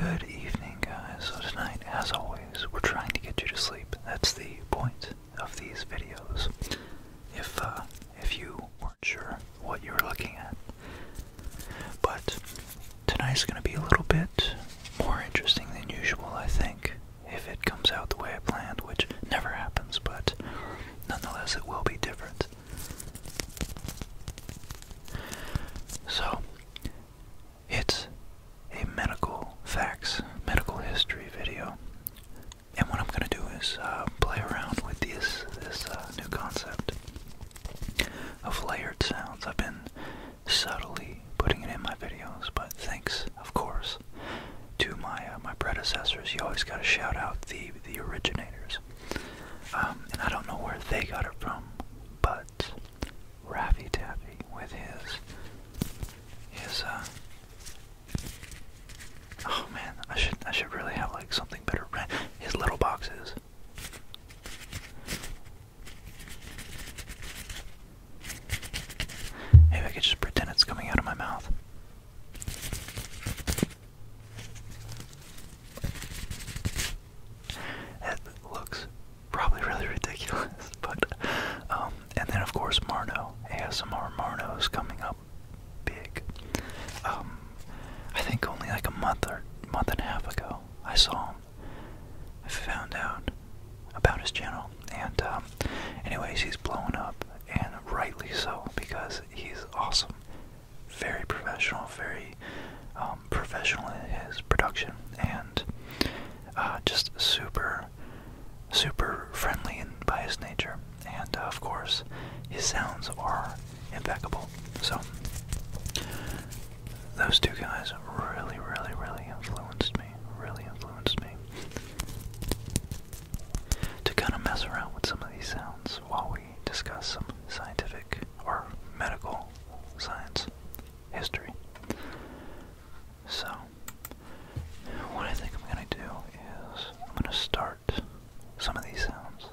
Good evening, guys. So, tonight, as always, we're trying to get you to sleep. That's the point of these videos. If uh, if you weren't sure what you were looking at, but tonight's going to be a little bit more interesting than usual, I think. If it comes out the way I planned, which never happens, but nonetheless, it will be different. So, it's a medical facts, medical history video. And what I'm going to do is uh, play around with this, this uh, new concept of layered sounds. I've been subtly putting it in my videos, but thanks, of course, to my uh, my predecessors. You always got to shout out the the originators, um, and I don't know where they got it from, but hurts Raffy Taffy with his his uh Oh man, I should I should really have like something better his little boxes. Maybe I could just pretend it's coming out of my mouth. That looks probably really ridiculous, but um, and then of course Marno ASMR Marno is coming up big. Um, I think only like a month or month and a half ago I saw him. I found out about his channel, and um, anyways, he's blown up, and rightly so because he's awesome, very professional, very um, professional in his production, and uh, just super, super friendly and by his nature. And uh, of course, his sounds are impeccable. So, those two guys really, really, really influenced me. Really influenced me to kind of mess around with some of these sounds while we discuss some scientific or medical science history. So, what I think I'm going to do is I'm going to start some of these sounds.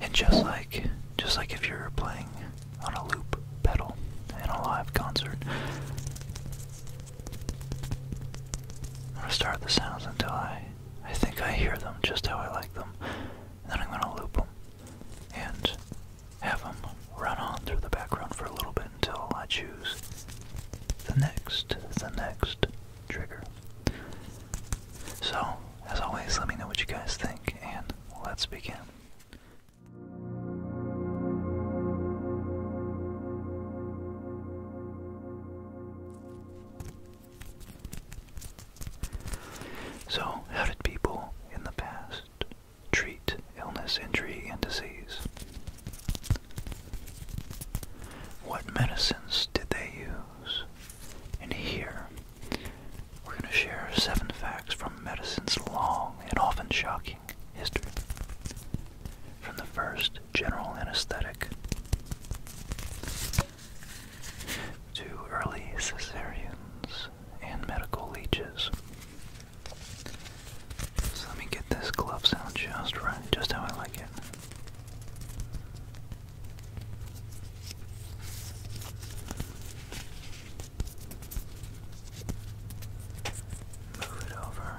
And just like just like if you're playing on a loop pedal in a live concert, I'm going to start the sounds until I I think I hear them just how I like them. And then I'm going to loop them and have them run on through the background for a little bit until I choose the next, the next trigger. So, as always, let me know what you guys think, and let's begin. So, how did people in the past treat illness, injury, and disease? What medicines did they use? And here, we're going to share seven facts from medicine's long and often shocking history. From the first general anesthetic to early Caesareans and medical leeches. let me get this glove sound just right, just how I like it. Move it over.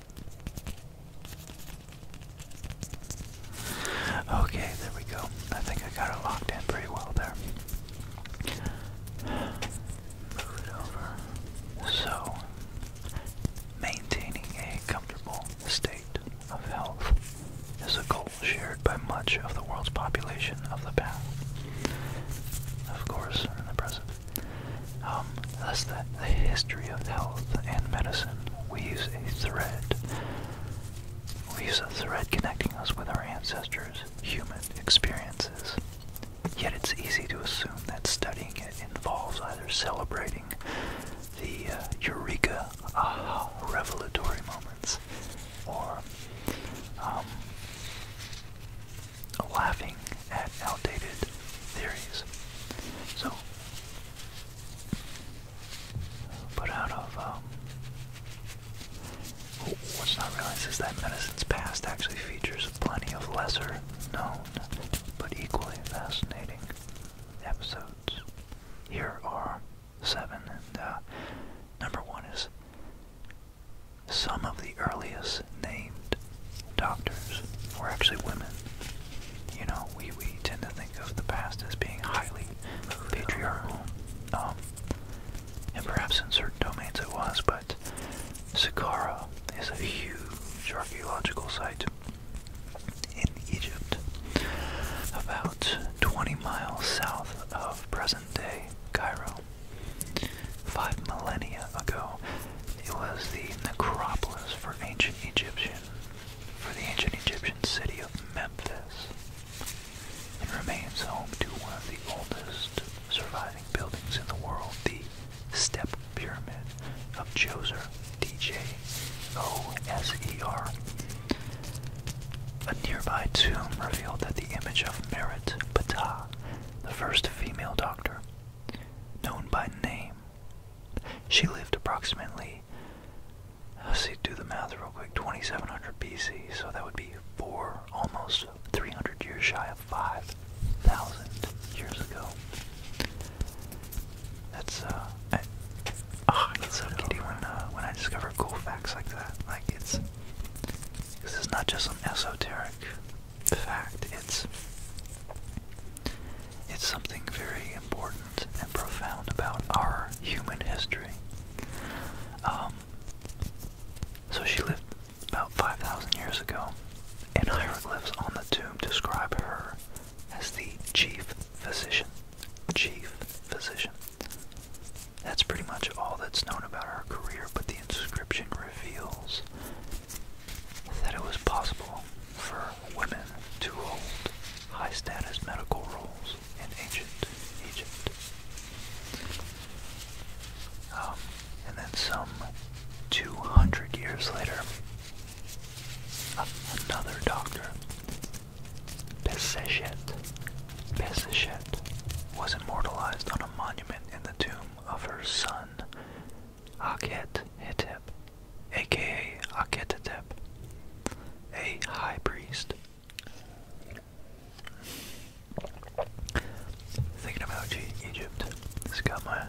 Okay, there we go. I think I got it locked in pretty well there. Move it over. So, maintaining a comfortable state of health is a goal shared by much of the world's population of the past. Of course, in the present um, that's the, history of health and medicine. We use a thread. We use a thread connecting us with our ancestors' human experiences. Yet it's easy to assume that studying it involves either celebrating the uh, eureka, aha, revelatory moments, or um, laughing at outdated theories. So, but out of, um, what's not realized is that medicine's past actually features plenty of lesser known but equally fascinating episodes. Here are seven, and uh, number one is some of the earliest named doctors were actually women. You know, we, we tend to think of the past as being highly patriarchal, um, and perhaps in certain domains it was, but Saqqara is a huge archaeological site in Egypt, about 20 miles south of present-day Cairo. Five millennia ago, it was the necropolis for ancient Egyptian, for the ancient Egyptian city of Memphis. It remains home to one of the oldest surviving buildings in the world, the Step Pyramid of Djoser, A nearby tomb revealed that the image of Merit Ptah, the first female doctor, known by name, she lived approximately, let's see, do the math real quick, 2700 BC, so that would be four, almost 300 years shy of 5,000 years ago. That's, uh, I, oh, ah, I get so giddy when, uh, when I discover cool facts like that. Like, it's, this is not just some esoteric fact. It's it's something very important and profound about our human history. Um, so she lived about 5,000 years ago, and hieroglyphs on the tomb describe her as the chief physician. Chief physician. That's pretty much all that's known about her career, but the inscription reveals that it was possible for women to hold high status medical roles in ancient Egypt. Um, and then some 200 years later, another doctor, Pesechet, Pesechet was immortalized on a monument in the tomb of her son, Akhet Hetep, aka Akhetetep, a high priest. Thinking about Egypt, it's got my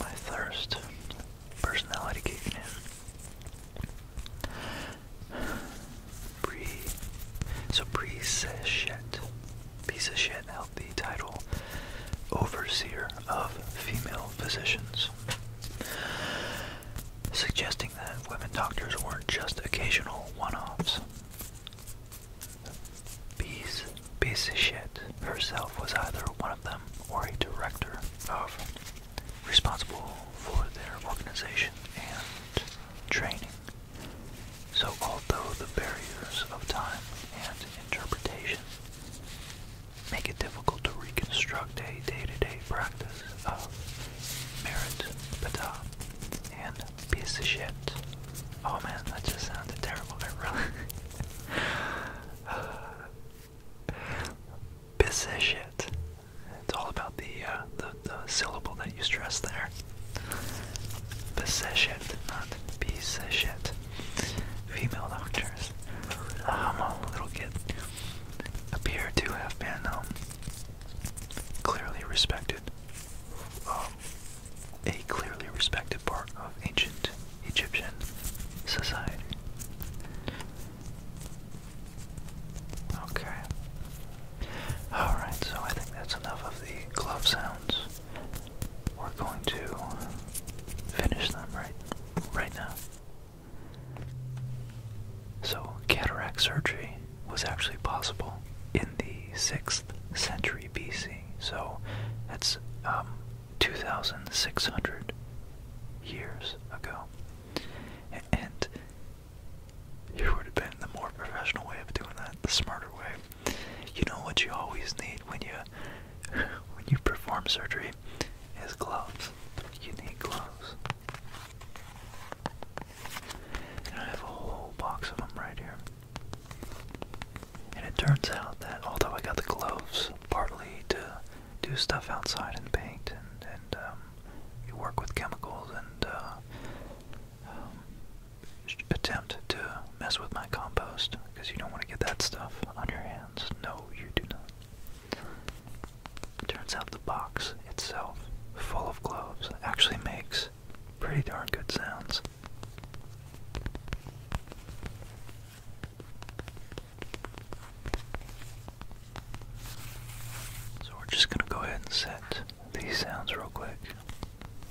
my thirst, personality kicking in. Pre, so pre-seshet piece of shit held the title overseer of female physicians, suggesting that women doctors weren't just occasional one-offs. Piece, piece of shit herself was either one of them or a director of responsible for their organization and training. So although the barriers of time and interpretation make it difficult to reconstruct a day-to-day practice of merit, bata, and piece of shit. Oh man, that just sounded terrible. really. piece of shit. It's all about the, uh, the the syllable that you stress there. Piece of shit, not piece of shit. Female doctors, um, the little kids, appear to have been um, clearly respected, um, a clearly respected part of ancient Egyptian society. Okay. Alright, so I think that's enough of the glove sounds we're going to finish them right right now. So cataract surgery was actually possible in the 6th century BC. So that's um, 2600 years ago. And here would have been the more professional way of doing that, the smarter way. You know what you always need when you when you perform surgery is gloves. You need gloves. And I have a whole box of them right here. And it turns out that although I got the gloves partly to do stuff outside and paint and, and um, you work with chemicals and uh, um, attempt to mess with my compost because you don't want to get that stuff on your hands. No, you do not. Turns out the box itself, full of gloves, actually makes pretty darn good sounds. So we're just going to go ahead and set these sounds real quick.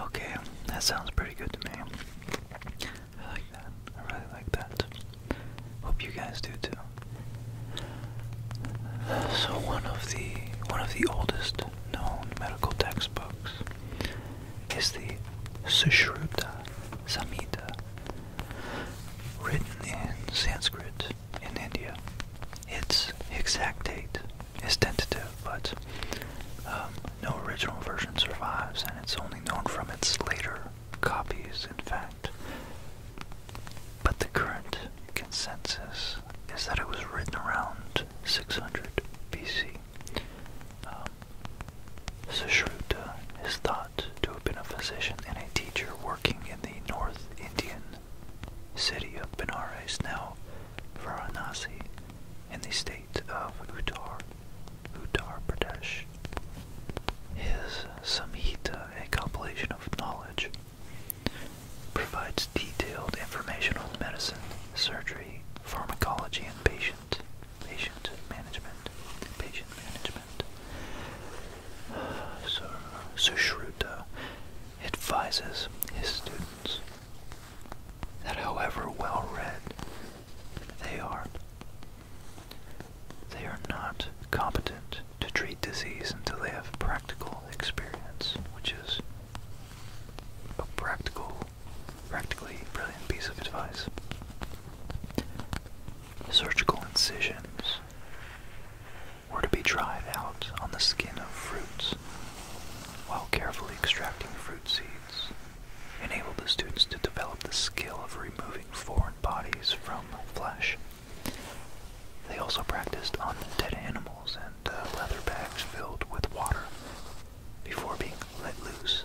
Okay, that sounds pretty good to me. I like that. I really like that. Hope you guys do too. So one of the one of the oldest known medical textbooks is the Sushruta Samhita, written in Sanskrit in India. Its exact date is tentative, but um, no original version survives, and it's only known from its later copies, in fact. But the current consensus is that it was written around 600 BC. Um, Sushruta is thought to have been a physician and a teacher working in the North Indian city of Benares, now Varanasi, in the state of Uttar, Uttar Pradesh. His Samhita, a compilation of knowledge, provides detailed information on medicine, surgery, pharmacology, and patient patient management. Patient management. Uh, so Sushruta advises his students that however well read they are, they are not competent to treat disease until they have practical experience, which is a practical, practically brilliant piece of advice. Surgical incisions were to be tried out on the skin of fruits while carefully extracting fruit seeds. Enabled the students to develop the skill of removing foreign bodies from flesh. They also practiced on dead animals and uh, leather bags filled with water before being let loose.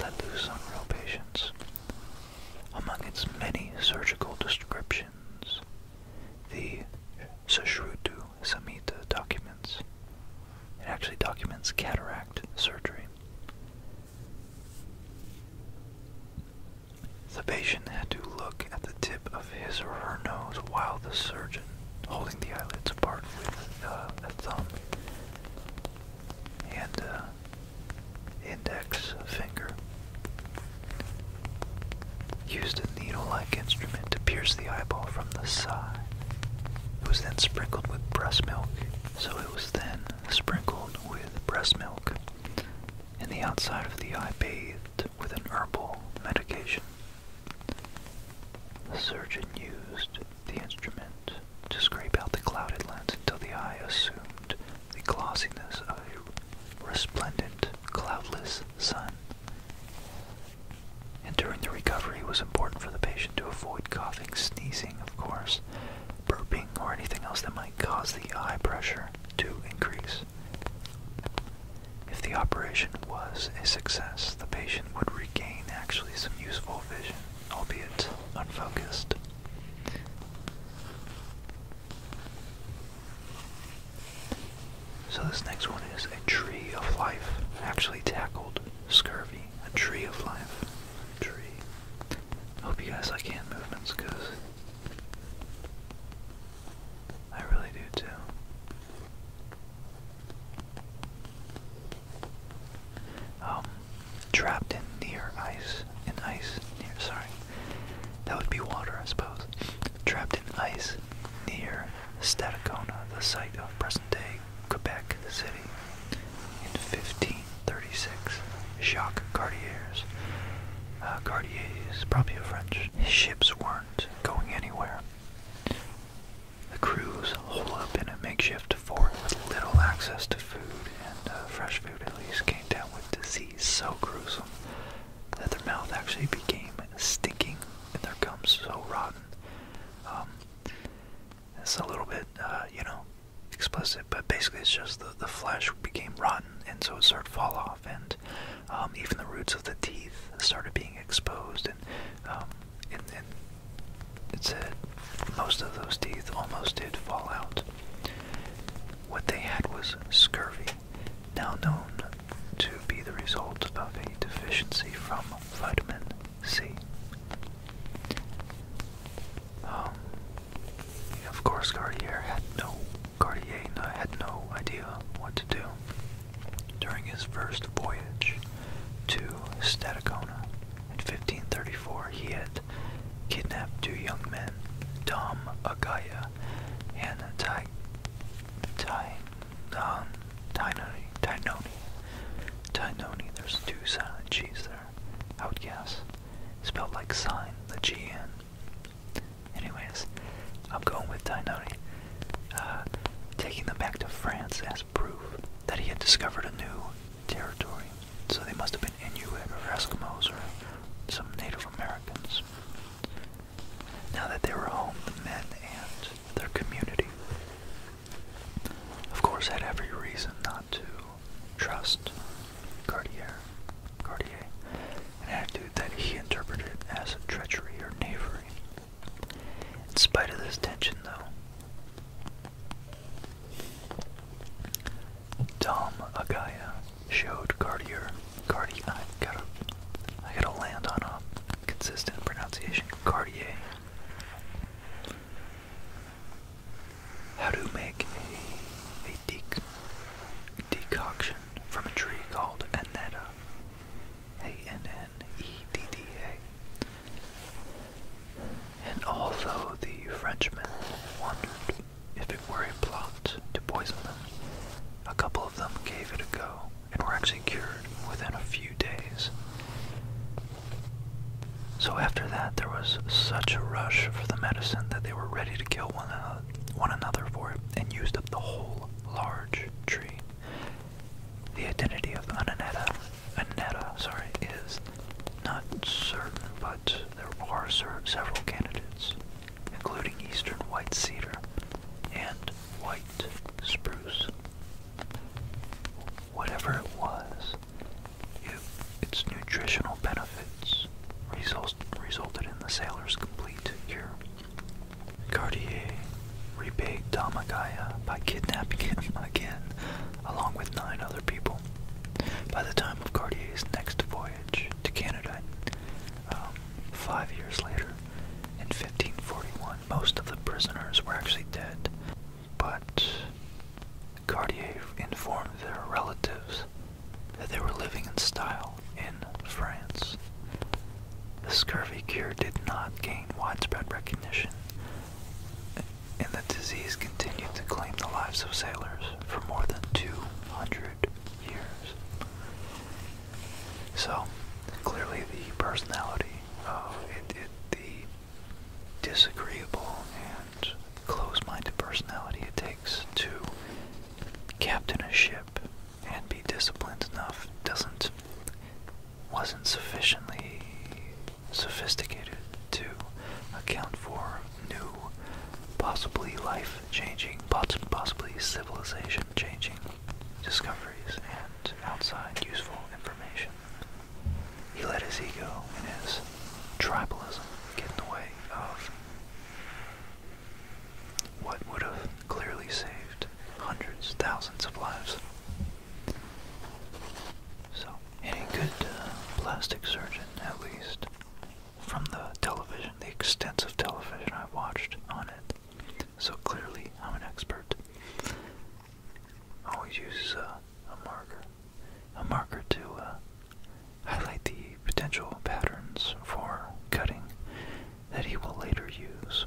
Let loose on real patients. Among its many surgical descriptions, the Sushrutu submit documents. It actually documents cataract surgery. The patient had to look at the tip of his or her nose while the surgeon, holding the eyelids apart with uh, a thumb and uh, index finger, used a needle-like instrument to pierce the eyeball from the side. It was then sprinkled with breast milk, so it was then sprinkled with breast milk, and the outside of the eye bathed with an herbal medication. The surgeon used the instrument to scrape out the clouded lens until the eye assumed the glossiness of a resplendent, cloudless sun. And during the recovery, it was important for the patient to avoid coughing, sneezing, of course, burping, or anything else that might cause the eye pressure to increase. If the operation was a success, the patient would regain actually some useful vision, albeit unfocused. So this next one is a tree of life. Actually tackled scurvy. A tree of life. tree. Hope you guys like hand movements, cause I really do too. Um, trapped in near ice, in ice near. Sorry, that would be water, I suppose trapped in ice near Stadacona, the site of present-day Quebec City. In 1536, Jacques Cartier's, uh, Cartier's probably a French, his ships weren't going anywhere. The crews holed up in a makeshift fort with little access to food, and uh, fresh food at least came down with disease so gruesome that their mouth actually became stinking and their gums so rotten. Um, it's a little bit, uh, you know, explicit, but basically it's just the, the flesh became rotten and so it started to fall off, and um, even the roots of the teeth started being exposed, and, um, and, and it said most of those teeth almost did fall out. What they had was scurvy, now known to be the result of a deficiency from vitamin C. Um, of course, Cartier had no Cartier had no idea what to do during his first voyage to Stadacona. In 1534, he had kidnapped two young men, Dom Agaya and Ty, Ty um, Tainoni, Tainoni, there's two silent Cheese there, I would guess, spelled like sign, the G N. Anyways, I'm going with Tainoni, uh, taking them back to France as proof that he had discovered a new territory, so they must have been Inuit or Eskimos or some Native Americans. Now that they were home, the men and their community. Of course, had every reason not to trust Cartier, Cartier, an attitude that he interpreted as treachery or knavery. In spite of this tension, though, Tom Agaia showed Cartier, Cartier, I gotta land on a consistent pronunciation. Cartier. How to make a, a decoction from a tree called anetta. A-N-N-E-D-D-A. And although the Frenchmen wondered if it were a plot to poison them, a couple of them gave it a go and were actually cured within a few days. So after that, there was such a rush for the medicine that they were ready to kill one, another for it and used up the whole large tree. The identity of Ananetta, Anetta, sorry, is not certain, but there are several candidates, including eastern white cedar and white spruce. Whatever it was, its nutritional benefits resulted in the sailor's complete cure. Cartier repaid Damagaya by kidnapping him again, along with nine other people. By the time of Cartier's next voyage to Canada, um, five years later, in 1541, most of the prisoners were actually dead, but Cartier informed their relatives that they were living in style in France. The scurvy cure did not gain widespread recognition, and the disease continued to claim the lives of sailors for more than 200 years. So clearly, the personality of it, the disagreeable and close-minded personality it takes to captain a ship and be disciplined enough doesn't wasn't sufficiently sophisticated to account for new, possibly life-changing, possibly civilization-changing discoveries, and outside useful information. He let his ego and his tribalism get in the way of what would have clearly saved hundreds, thousands of lives. So, any good uh, plastic surgeon, at least, from the television, the extensive television I've watched on it, so clearly I'm an expert. Always use a marker, a marker to uh, highlight the potential patterns for cutting that he will later use.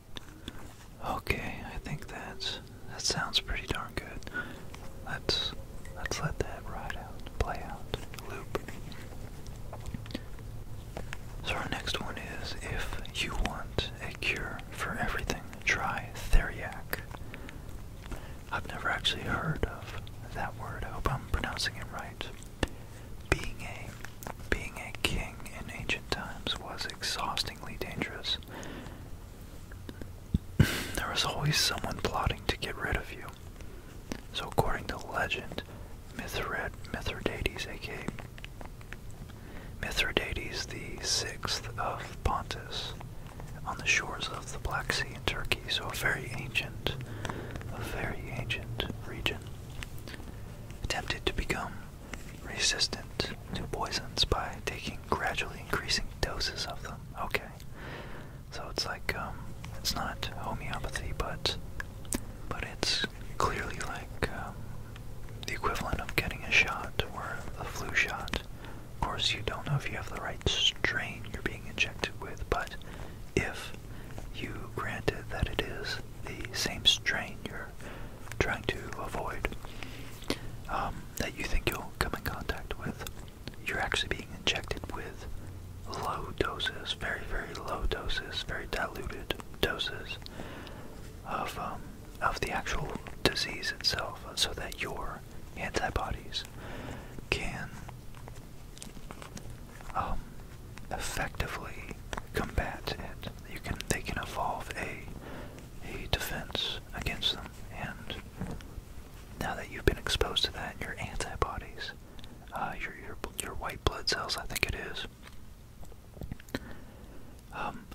Okay, I think that's that sounds pretty darn good. let's let that ride out, play out, loop. So our next one is if you want a cure for everything, try Theriac. I've never actually heard of that word. I hope I'm pronouncing it right. Being a being a king in ancient times was exhaustingly dangerous. there was always someone plotting to get rid of you. So, according to legend, Mithrid, Mithridates, aka Mithridates the Sixth of Pontus, on the shores of the Black Sea in Turkey, so a very ancient, a very ancient region, attempted to become resistant to poisons by taking gradually increasing doses of them. Okay. So it's like um it's not homeopathy but but it's clearly like um, the equivalent of getting a shot or a flu shot. Of course you don't know if you have the right strain you're being injected with, but if you granted that it is the same strain you're trying to avoid um, that you think you'll come in contact with. You're actually being injected with low doses, very, very low doses, very diluted doses of, um, of the actual disease itself so that your antibodies can um, effectively combat it you can they can evolve a a defense against them. And now that you've been exposed to that, your antibodies, uh, your your your white blood cells, I think it is. Um,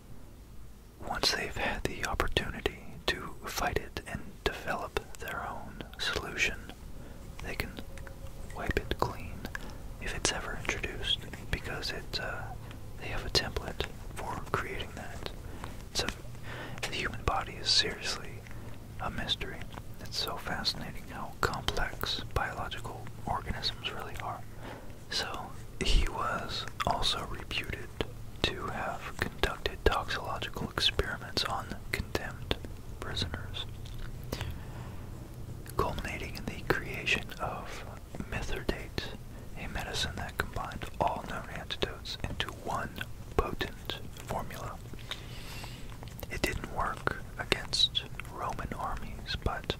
once they've had the opportunity to fight it and develop their own solution, they can wipe it clean if it's ever introduced because it uh, they have a template for creating that. So the human body is seriously a mystery. It's so fascinating how complex biological organisms really are. So he was also reputed to have conducted toxicological experiments on condemned prisoners, culminating in the creation of methordate, a medicine that combined all known antidotes into one potent formula. It didn't work against Roman armies, but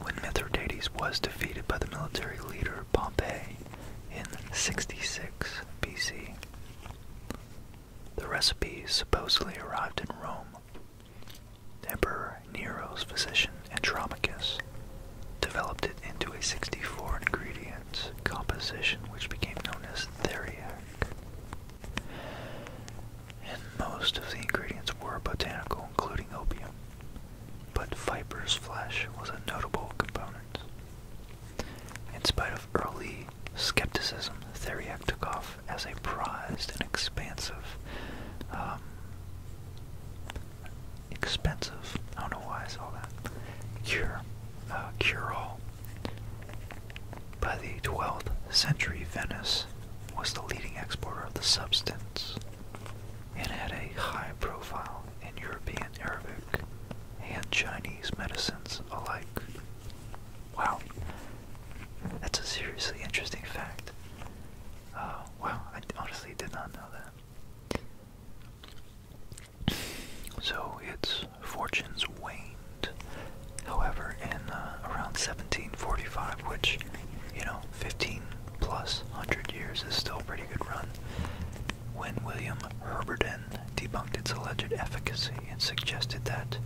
when Mithridates was defeated by the military leader Pompey in 66 BC, the recipe supposedly arrived in Rome Emperor Nero's physician Andromachus developed it into a 64 ingredient composition which became known as theriac. And most of the ingredients were botanical, including opium, but viper's flesh was a notable component. In spite of early skepticism, theriac took off as a prized and expansive, um, expensive, I don't know why I saw that, cure, uh, cure-all. By the 12th century, Venice was the leading exporter of the substance and had a high profile in European Arabic and Chinese medicines alike. Wow, that's a seriously interesting fact. Oh, wow, I honestly did not know that. So its fortunes waned, however, in uh, around 1745, which, you know, 15 plus 100 years is still pretty good run, when William Herberton debunked its alleged efficacy and suggested that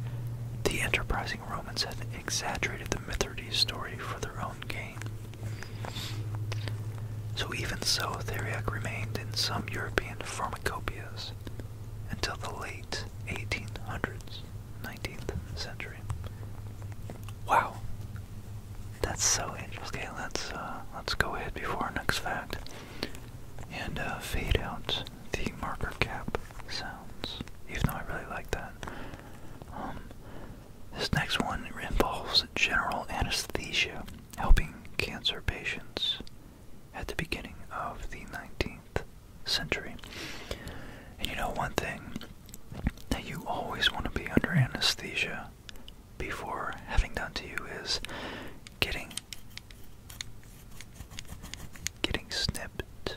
the enterprising. Romans had exaggerated the Mithridates story for their own gain. So even so, theriac remained in some European pharmacopoeias until the late 1800s, 19th century. Wow, that's so interesting. Okay, let's uh, let's go ahead before our next fact and uh, fade out the marker cap sounds. Even though I really like that, um, this next one involves general anesthesia, helping cancer patients at the beginning of the 19th century. And you know one thing that you always want to be under anesthesia before having done to you is getting getting snipped.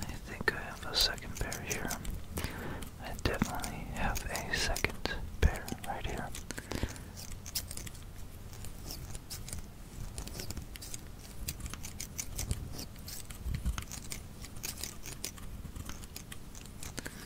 I think I have a second pair here. I definitely have a second pair right here.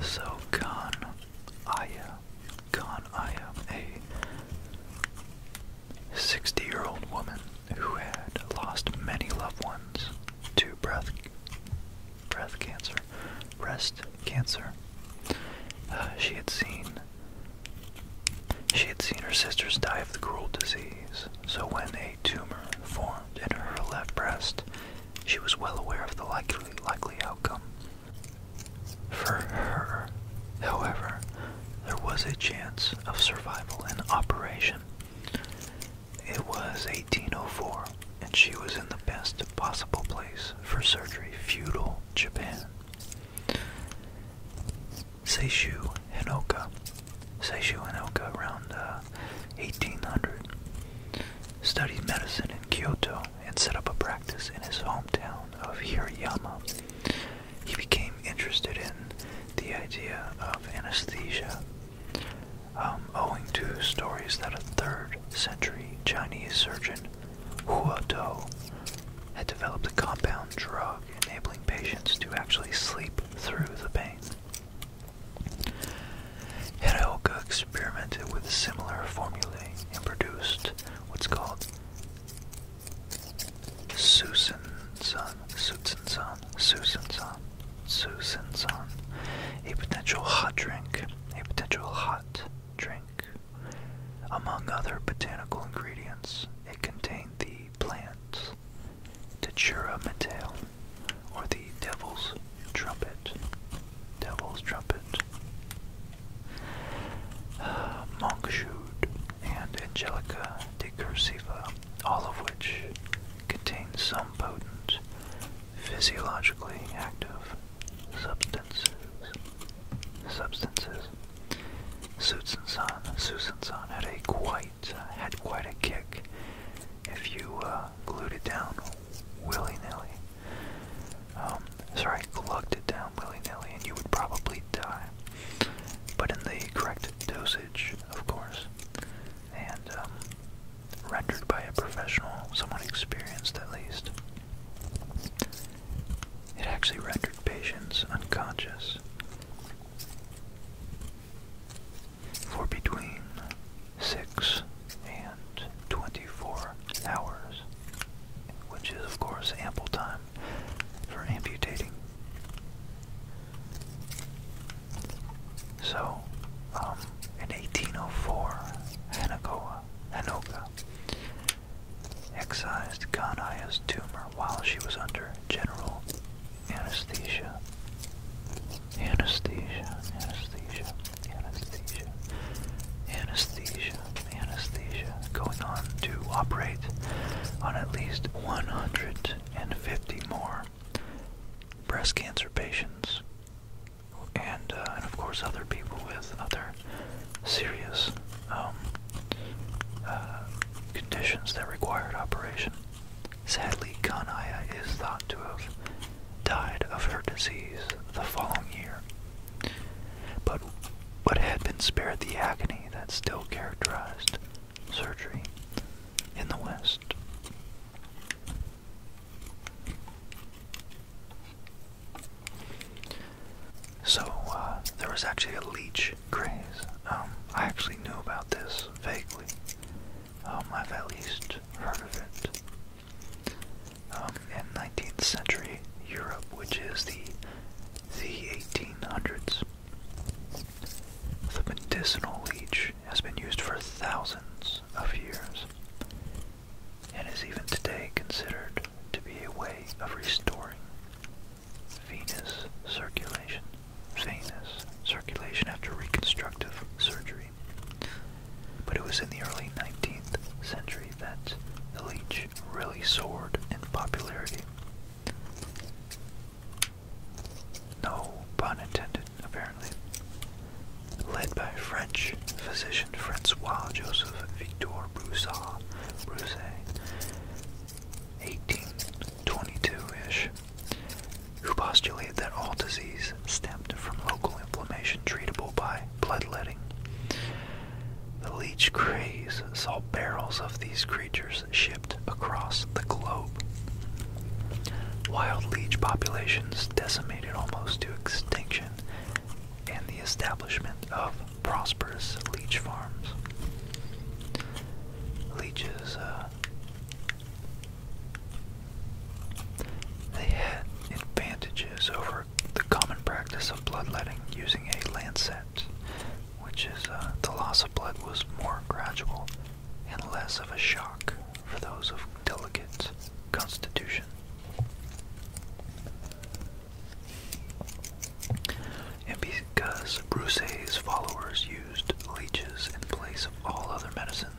So Khan Aya, Khan Aya, a 60 year old woman who had lost many loved ones to breath, breath cancer, breast cancer. Uh, she had seen she had seen her sisters die of the cruel disease, so when a tumor formed in her left breast, she was well aware of the likely, likely outcome. For her, however, there was a chance of survival in operation. It was 1804, and she was in the best possible place for surgery, feudal Japan. Seishu Hinoka Seishu Inoka around 1800, uh, studied medicine in Kyoto, and set up a practice in his hometown of Hirayama. He became interested in the idea of anesthesia, um, owing to stories that a third century Chinese surgeon, Hua Do, had developed a compound drug enabling patients to actually sleep through the pain. Hiraoka experimented with similar formulae and produced what's called Susan-san, Susan-san, Susan-san, Susan-san, a potential hot drink, a potential hot drink. Among other botanical ingredients, it contained the plants. Datura Mateo, or the Devil's Trumpet. Devil's Trumpet. Uh, Monkshood and Angelica de Cursiva, all of which contain some potent, physiologically active substances. Substances. Susan-san, Susan-san had a quite, had quite a kick. If you uh, glued it down willy-nilly. Um, sorry, glugged it down willy-nilly, and you would probably die. But in the correct dosage, of course, and um, rendered by a professional, someone experienced at least. It actually rendered patients unconscious for between 6 and 24 hours, which is, of course, ample time for amputating. So, um, in 1804, Hanakoa, Hanoka excised Kanya's tumor while she was under general anesthesia, anesthesia, anesthesia, anesthesia, anesthesia, anesthesia, going on to operate on at least 150 more breast cancer patients and, uh, and of course other people with other serious um, uh, conditions that required operation. Sadly, Kanaya is thought to have died of her disease the following year, but, but had been spared the agony that still characterized surgery in the West. So, uh, there was actually a leech craze. Um, I actually knew about this vaguely. Um, I've at least heard of it. Um, in 19th century Europe, which is the the 1800s, the medicinal leech has been used for thousands of years, and is even today considered to be a way of restoring venous circulation venous circulation after reconstructive surgery. But it was in the early 19th century that the leech really soared in popularity. No pun intended, apparently. Led by French physician Francois Joseph Victor Broussard, 1822-ish, who postulated that all disease stemmed from local inflammation treatable by bloodletting. The leech craze saw barrels of these creatures shipped across the globe. Wild leech populations decimated almost to extinction, and the establishment of prosperous leech farms. Leeches, uh, they had advantages over the common practice of bloodletting using a lancet, which is uh, the loss of blood was more gradual and less of a shock for those of delicate constitution. And because Rousseau's followers used leeches in place of all other medicines,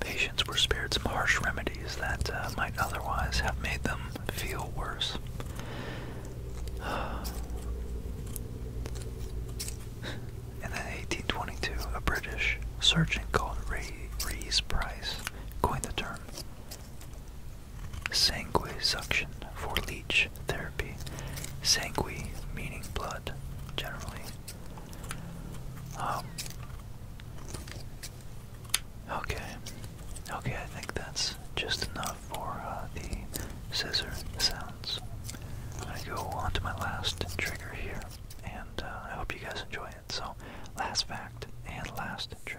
Patients were spared some harsh remedies that uh, might otherwise have made them feel worse. In 1822, a British surgeon called Ray Rees Price coined the term sanguisuction for leech therapy. Sangue meaning blood, generally. Um, okay, okay, I think that's just enough for uh, the scissor sounds. i go on to my last trigger here, and uh, I hope you guys enjoy it. So, last fact and last trigger.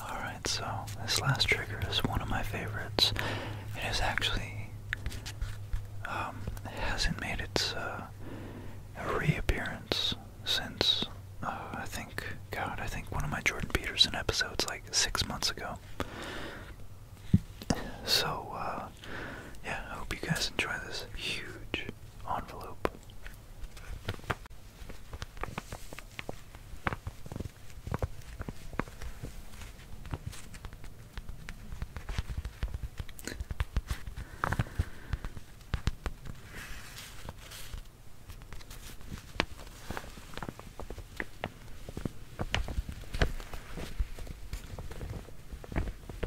Alright, so this last trigger is one of my favorites. It is actually um, hasn't made its uh, reappearance since uh, I think God, I think one of my Jordan Peterson episodes like six months ago. So uh, yeah, I hope you guys enjoy this huge envelope.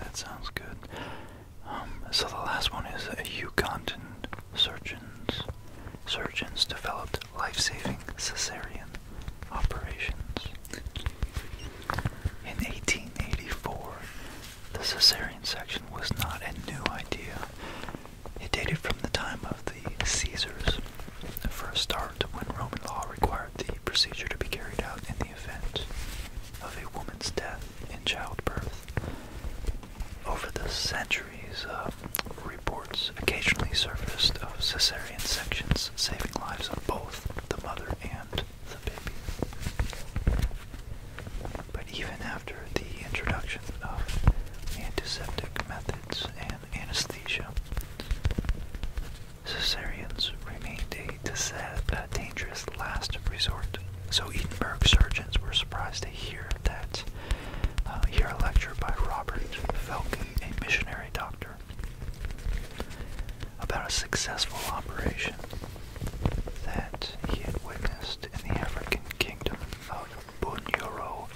that sounds good. Um, so the last one is a Ugandan surgeons. Surgeons developed life-saving cesarean operations. In 1884, the cesarean section was not a new idea. It dated from the time of the Caesars, the first start when Roman law required the procedure to be carried out in the event of a woman's death in childbirth. Over the centuries, uh, reports occasionally surfaced of cesarean sections saving lives of both the mother and the baby. But even after the introduction of antiseptic methods and anesthesia, cesareans remained a to set a dangerous last resort. So Edinburgh surgeons were surprised to hear that uh, hear a lecture by Robert Falcon, a missionary doctor, about a successful operation that he had witnessed in the African kingdom of Bunyoro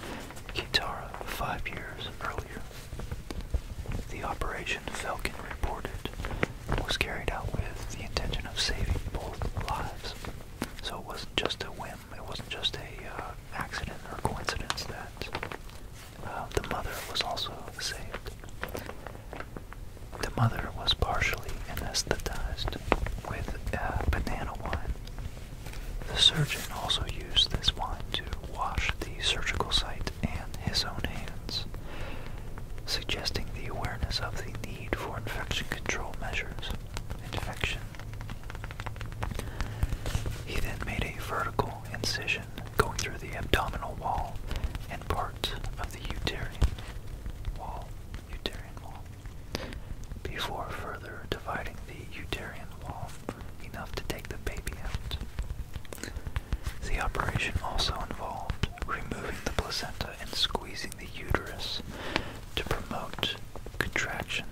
Kitara five years earlier. The operation Falcon reported was carried out with the intention of saving both lives. So it wasn't just a whim, it wasn't just a uh, accident or coincidence that uh, the mother was also saved. The mother was partially anesthetized with uh, banana wine. The surgeon also used this wine to wash the surgical site and his own hands suggesting the awareness of the need for infection control measures. Infection. He then made a vertical incision going through the abdominal wall and part of the uterine wall. Uterine wall. Before further dividing the uterine wall enough to take the baby out. The operation also involved removing the placenta and squeezing the uterus to promote contraction.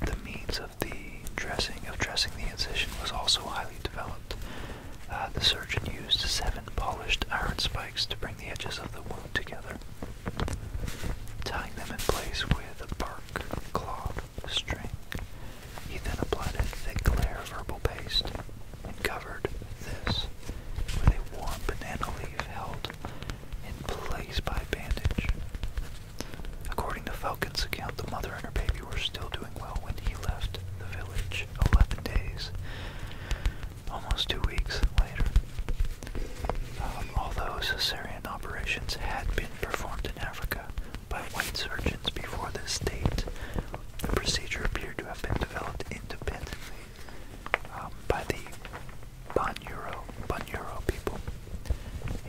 The means of the dressing of dressing the incision was also highly developed. Uh, the surgeon used seven polished iron spikes to bring the edges of the wound together, tying them in place with a bark cloth string. He then applied a thick layer of herbal paste and covered this with a warm banana leaf held in place by a bandage. According to Falcon's account, the mother and her baby were still doing well when he left the village 11 days, almost two weeks later. Um, although Caesarean operations had been performed in Africa, by white surgeons before this date. The procedure appeared to have been developed independently um, by the Bonuro, Bonuro people.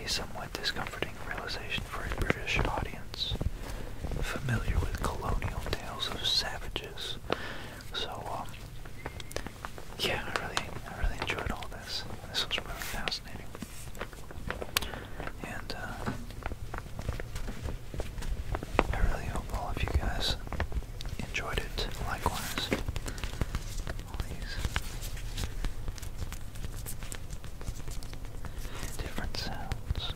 A somewhat discomforting realization for a British audience, familiar with colonial tales of savages. So, um, yeah, I really, I really enjoyed all this. This was really fascinating. And uh, I really hope all of you guys enjoyed it likewise. All these different sounds.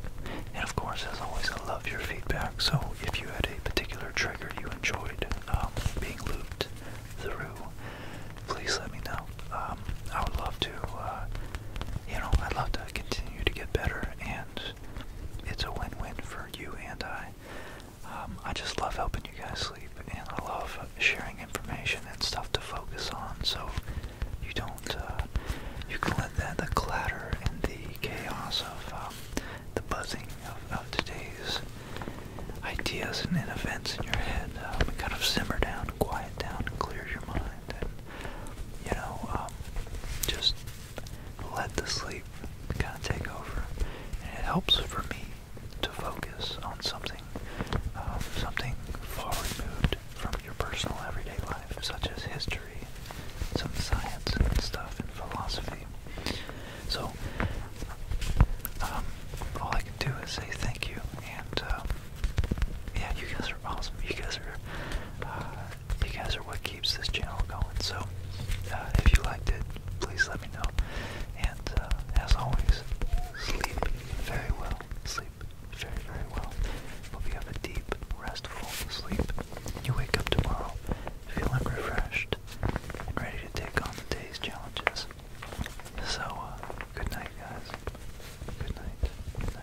And of course, as always, I love your feedback. So if you had a particular trigger you enjoyed um, being looped through, please let me know. Um, I would love to, uh, you know, I'd love to continue to get better, and it's a win-win for you and I. Um, I just love helping you guys sleep, and I love sharing information and stuff to focus on, so you don't, uh, you can let the clatter and the chaos of, um, the buzzing of, today's ideas and events in your head kind of simmer down, and quiet down, and clear your mind, you know, um, just let the sleep kind of take over. And it helps for me to focus on something, um, something far removed from your personal everyday life, such as history, some science and stuff, and philosophy. So, um, all I can do is say thank you, and um, yeah, you guys are awesome. You guys are, uh, you guys are what keeps this channel going. So, uh, if you liked it, please let me know. And uh, as always, sleep very well. Sleep very, very well. Hope you have a deep, restful sleep. You wake up tomorrow feeling refreshed and ready to take on the day's challenges. So, good night, guys. Good night.